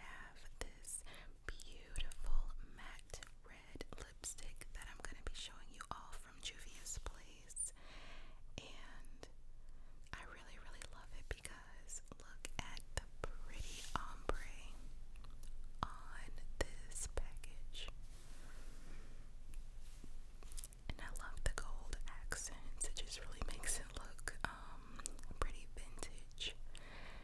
have this beautiful matte red lipstick that I'm going to be showing you all from Juvia's Place. And I really, really love it because look at the pretty ombre on this package. And I love the gold accents, it just really makes it look um, pretty vintage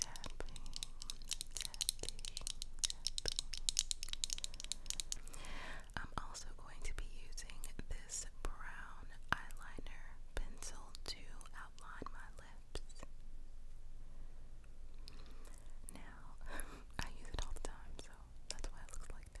tapping, tapping. I'm also going to be using this brown eyeliner pencil to outline my lips. Now, I use it all the time, so that's why it looks like that.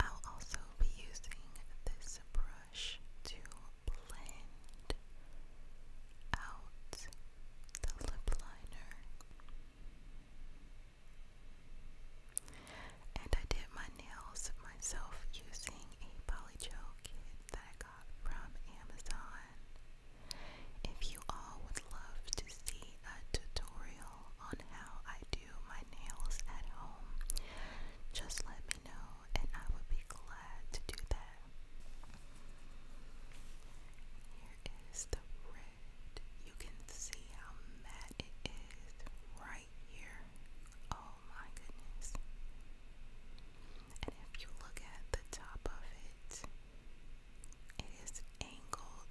I'll also be using this brush to blend out the lip liner. And I did my nails myself using a polygel kit that I got from Amazon. If you all would love to see a tutorial on how I do my nails at home, just let me know and I would be glad to do that. Here is the red. You can see how matte it is right here. Oh my goodness. And if you look at the top of it, it is angled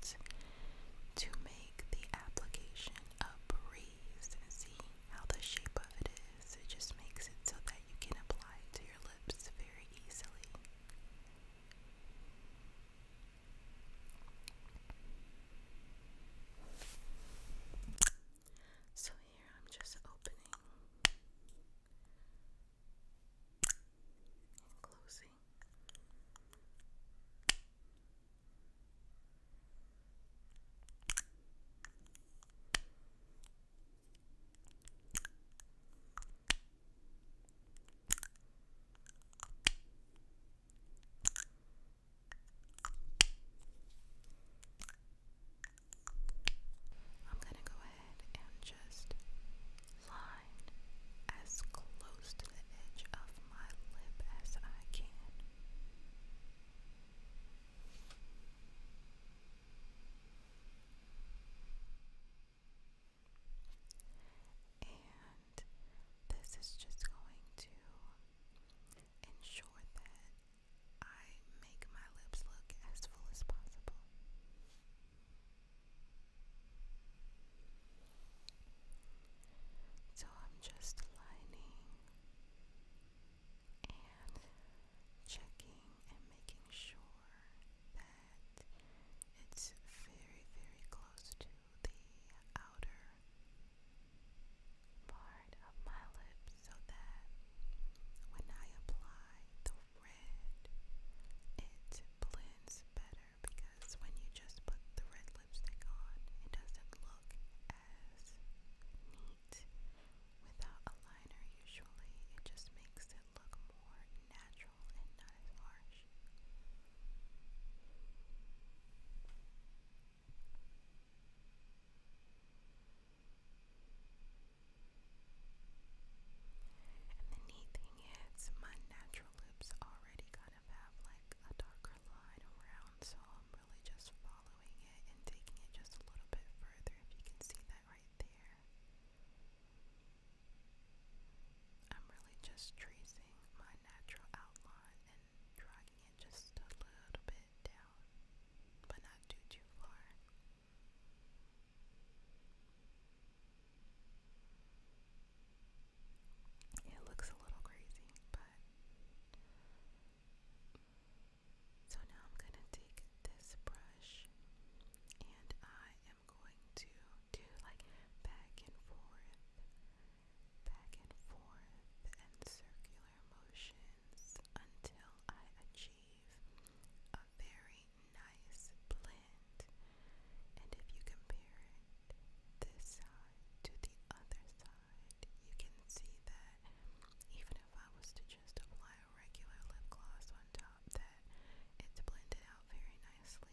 to make the application a breeze. and See how the shape of it is. It just makes it so that you can apply it to your lips very easily. So here I'm just opening closing see. I'm going to go ahead and just line as close to the edge of my lip as I can. And this is just going to ensure that I make my lips look as full as possible. So I'm just lining and checking and making sure that it's very, very close to the outer part of my lips so that when I apply the red, it blends better better because when you just put the red lipstick on, it doesn't look as neat without a liner usually. It just makes it look more natural and not as harsh. And the neat thing is, my natural lips already got kind of have like a darker line around, so I'm really just following it and taking it just a little bit further if you can see that right there. I'm really just tracing my natural outline and dragging it just a little bit down, but not too too far. It looks a little crazy, but so now I'm going to take this brush and I am going to do like back and forth, back and forth, and circular motions until I achieve a very nice blend. And if you compare it this side to the other side, you can see that even if I was to just apply a regular lip gloss on top, that it's blended out very nicely.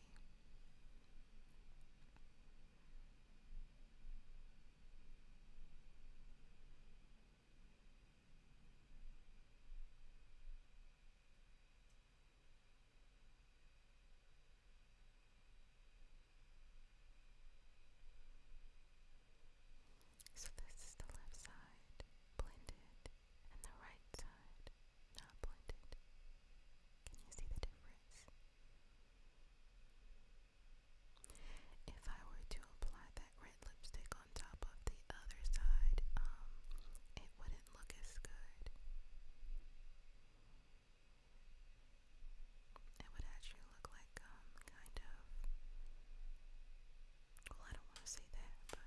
So this is the left side blended and the right side not blended. Can you see the difference? If I were to apply that red lipstick on top of the other side, um, it wouldn't look as good. It would actually look like, um, kind of. Well, I don't want to say that, but.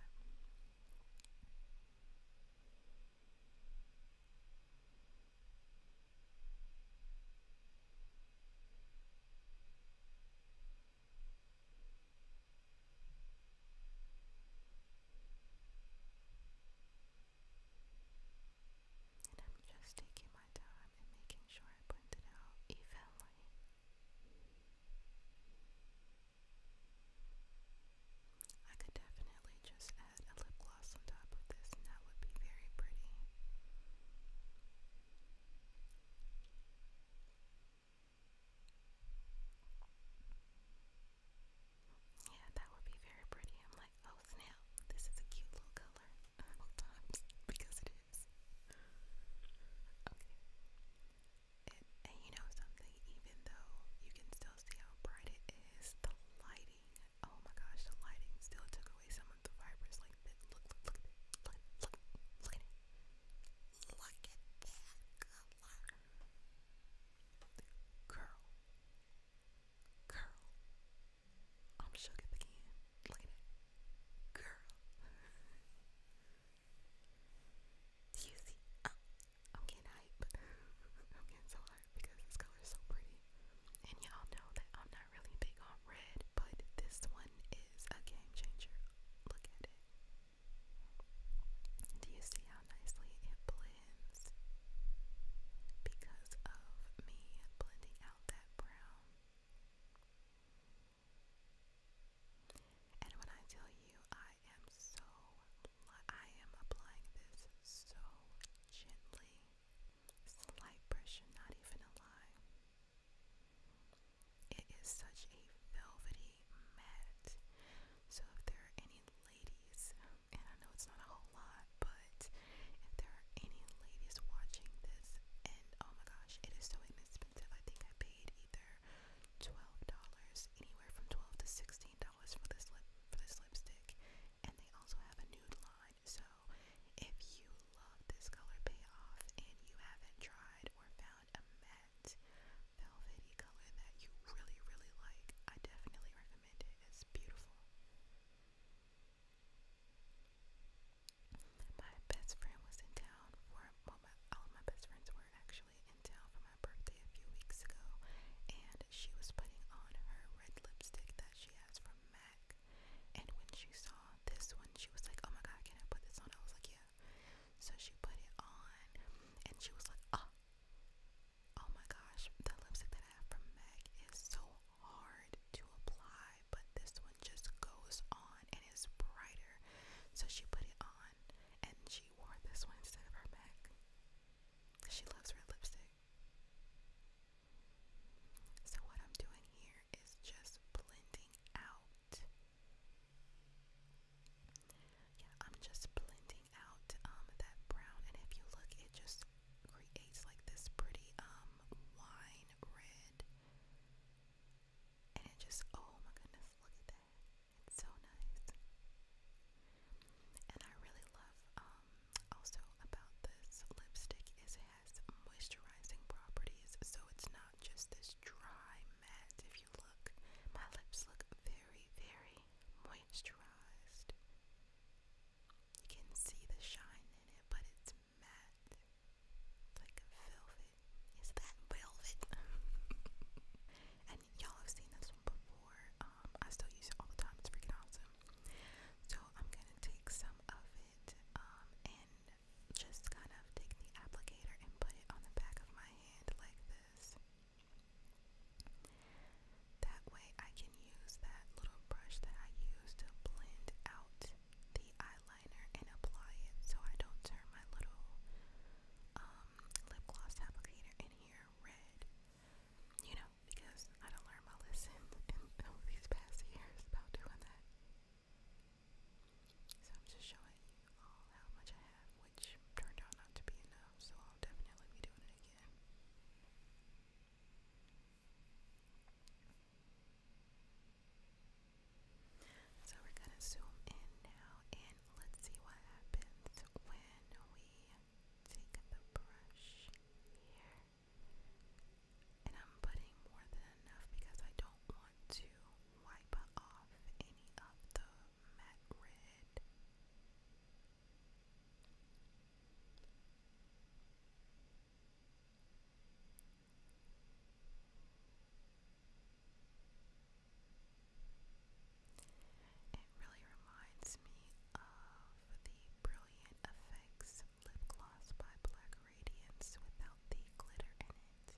And I'm just taking my time and making sure I print it out evenly. I could definitely just add a lip gloss on top of this and that would be very pretty. Yeah, that would be very pretty. I'm like, Oh this is a cute little color. because it is. you know something, even though you can still see how bright it is, the lighting, oh my gosh, the lighting still took away some of the fibers like Look, look, look, look, look, look at that color. Curl. I'm shook at Look at it. Girl. Do you see? Uh, I'm getting hype. I'm getting so hype because this color is so pretty. And y'all know that I'm not really big on red, but this one is a game changer. Look at it. Do you see how nicely it blends? because of me blending out that brown. And when I tell you I am so I am applying this so gently. Slight pressure, not even a lie. It is such a velvety matte. So if there are any ladies and I know it's not a whole lot, but if there are any ladies watching this, and oh my gosh, it is so inexpensive. I think I paid either twelve dollars, anywhere from twelve to sixteen dollars for this lip for this lipstick, and they also have a nude line. So if you love this color payoff and you haven't tried or found a matte velvety color that you really really like, I definitely recommend it. It's beautiful. My best friend was in town for well, my, all of my best friends were actually in town for my birthday a few weeks ago, and she was putting on her red lipstick that she has from MAC. And when she saw this one, she was like, "Oh my God, can I put this on?" I was like, "Yeah." So she put it on, and she was like, "Oh, oh my gosh, the lipstick that I have from MAC is so hard to apply, but this one just goes on and is brighter. So she put it on and she wore this one instead of her MAC. She loves red lipstick. So what I'm doing here is just blending out. Yeah, I'm just blending out um that brown and if you look it just just creates like this pretty um wine red. And it just oh my goodness, look at that. It's so nice. And I really love um also about this lipstick is it has moisturizing properties. So it's not just this dry matte if you look. My lips look very, very moisturized. You can see the shine in it, but it's matte. It's like velvet. Is that velvet? and y'all have seen this one before. Um, I still use it all the time. It's freaking awesome. So I'm gonna take some of it um, and just kind of take the applicator and put it on the back of my hand like this. That way I can use that little brush that I use to blend out the eyeliner and apply it so I don't turn my little um, lip gloss applicator in here red. You know, because I don't learn my lesson in over these past years about doing that. So I'm just showing you all how much I have, which turned out not to be enough, so I'll definitely be doing it again. So we're going to zoom in now and let's see what happens when we take the brush here. And I'm putting more than enough because I don't want to wipe off any of the matte red. It really reminds me of the Brilliant Effects lip gloss by Black Radiance without the glitter in it.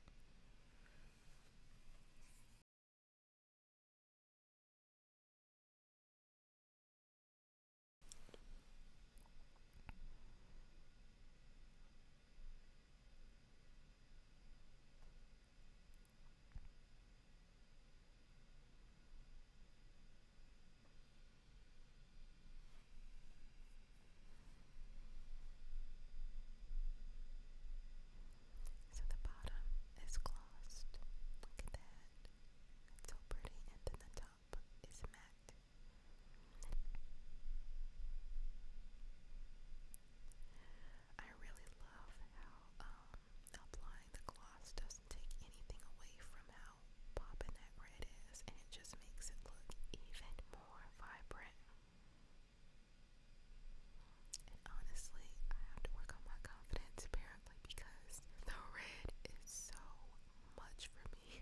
So the bottom is glossed. Look at that. It's so pretty. And then the top top is met. I really love how um, applying the gloss doesn't take anything away from how popping that red is, and it just makes it look even more vibrant. And honestly, I have to work on my confidence apparently because the red is so much for me.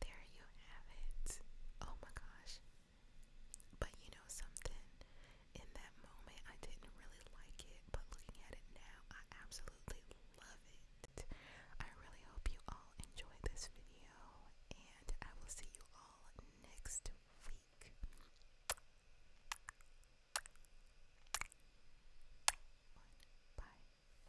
there you have it. Oh my gosh. But you know something? In that moment, I didn't really like it, but looking at it now, I absolutely love it. I really hope you all enjoyed this video, and I will see you all next week. bye.